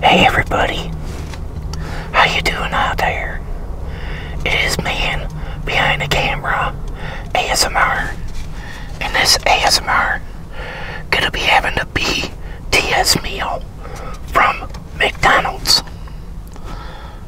Hey everybody, how you doing out there? It is man behind the camera, ASMR, and this ASMR gonna be having a BTS meal from McDonald's.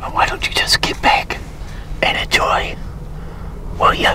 Well, why don't you just get back and enjoy, will you?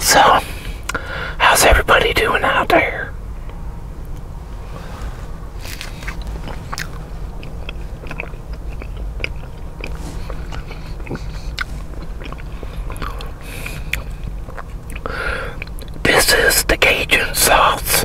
So, how's everybody doing out there? This is the Cajun sauce.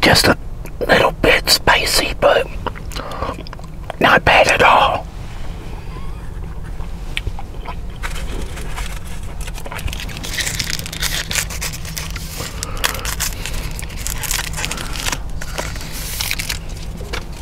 Just a little bit spicy, but not bad at all.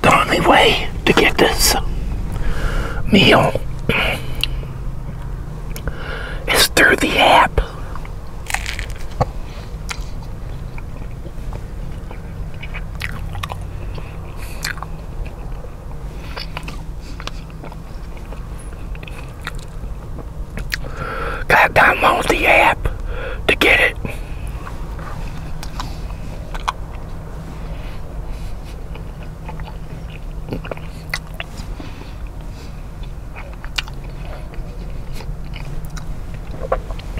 The only way to get this meal is through the app. Got download the app to get it.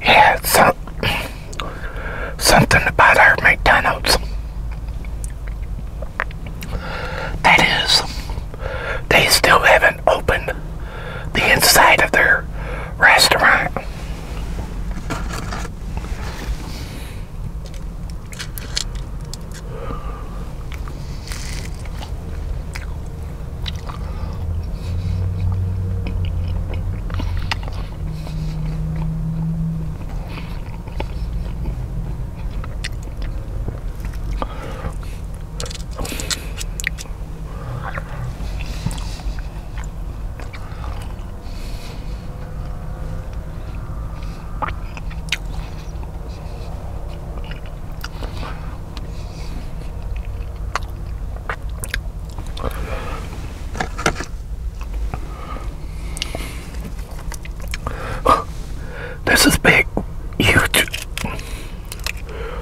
Yeah, some, something about our McDonald's. That is, they still have haven't opened the inside of their restaurant. This is big, huge.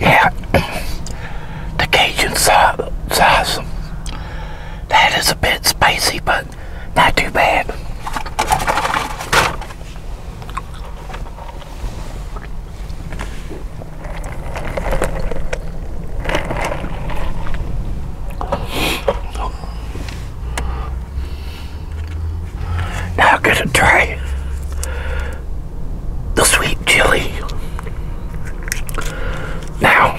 Yeah, the Cajun sauce, that is a bit spicy, but not too bad. Now I'm gonna try the sweet chili. Now,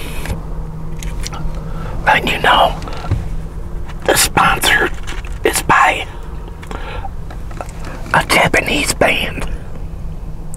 letting you know, the sponsor is by a Japanese band.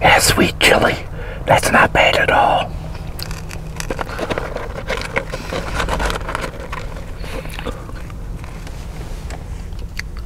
Yeah, sweet chili. That's not bad at all.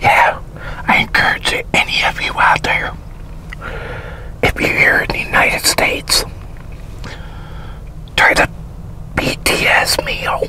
Yeah, I encourage any of you out there, if you're here in the United States, try the BTS meal.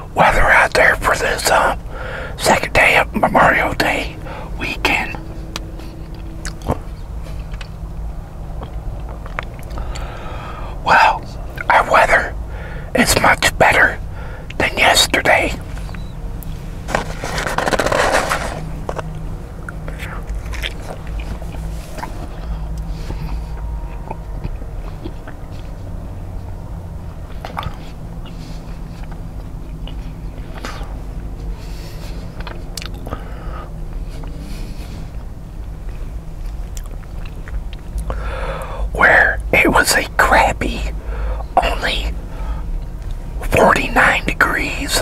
weather out there for this uh, second day of Memorial Day weekend. Well, our weather is much better than yesterday. Where it was a crappy only 49 degrees.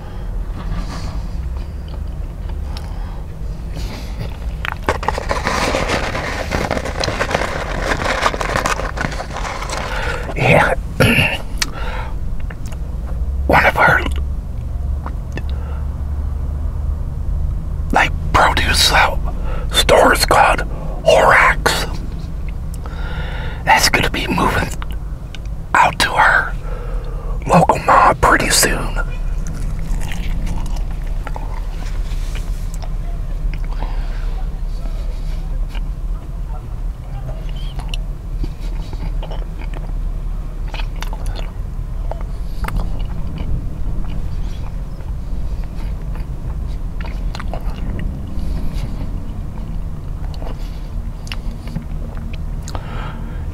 Yeah. One of our like produce uh, stores called Horax. That's going to be moving out to our local mob pretty soon.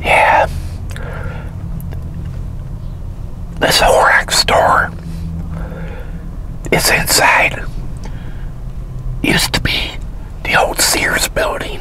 Yeah. This Orac store its inside. Used to be the old Sears building.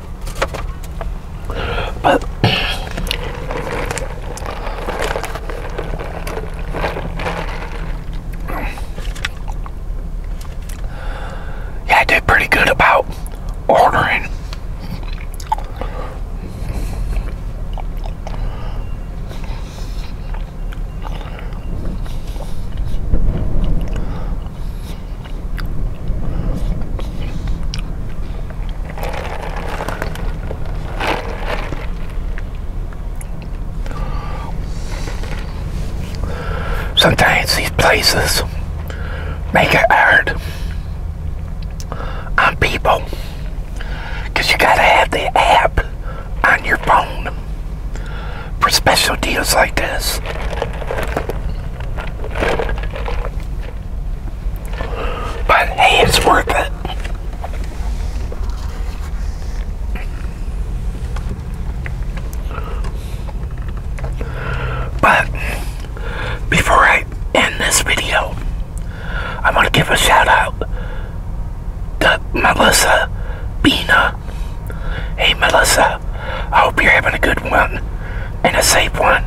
yeah, I did pretty good about ordering. Sometimes these places make it hard on people because you gotta have the app on your phone for special deals like this. But hey, it's worth it. But before I end this video, I want to give a shout out to Melissa Bina. Hey, Melissa, I hope you're having a good one and a safe one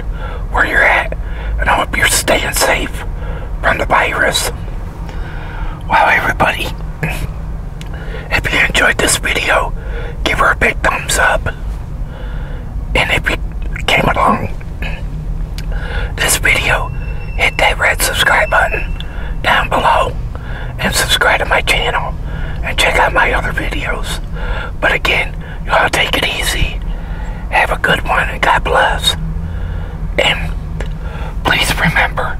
where you're at. And I hope you're staying safe from the virus. Wow, everybody, if you enjoyed this video, give her a big thumbs up. And if you came along this video, hit that red subscribe button down below and subscribe to my channel and check out my other videos. But again, you all take it easy. Have a good one and God bless. And please remember,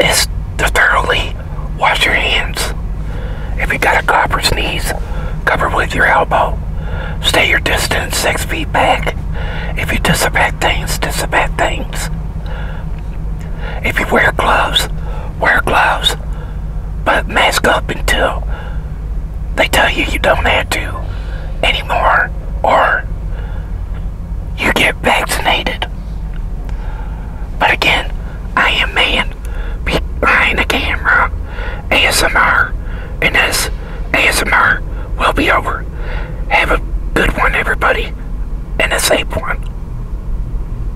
is to thoroughly wash your hands. If you got a cough or sneeze, cover with your elbow. Stay your distance six feet back. If you disinfect things, disinfect things. If you wear gloves, wear gloves. But mask up until they tell you you don't have to anymore or you get vaccinated. But again, I am man behind the camera ASMR and this ASMR will be over. Have a good one everybody and a safe one.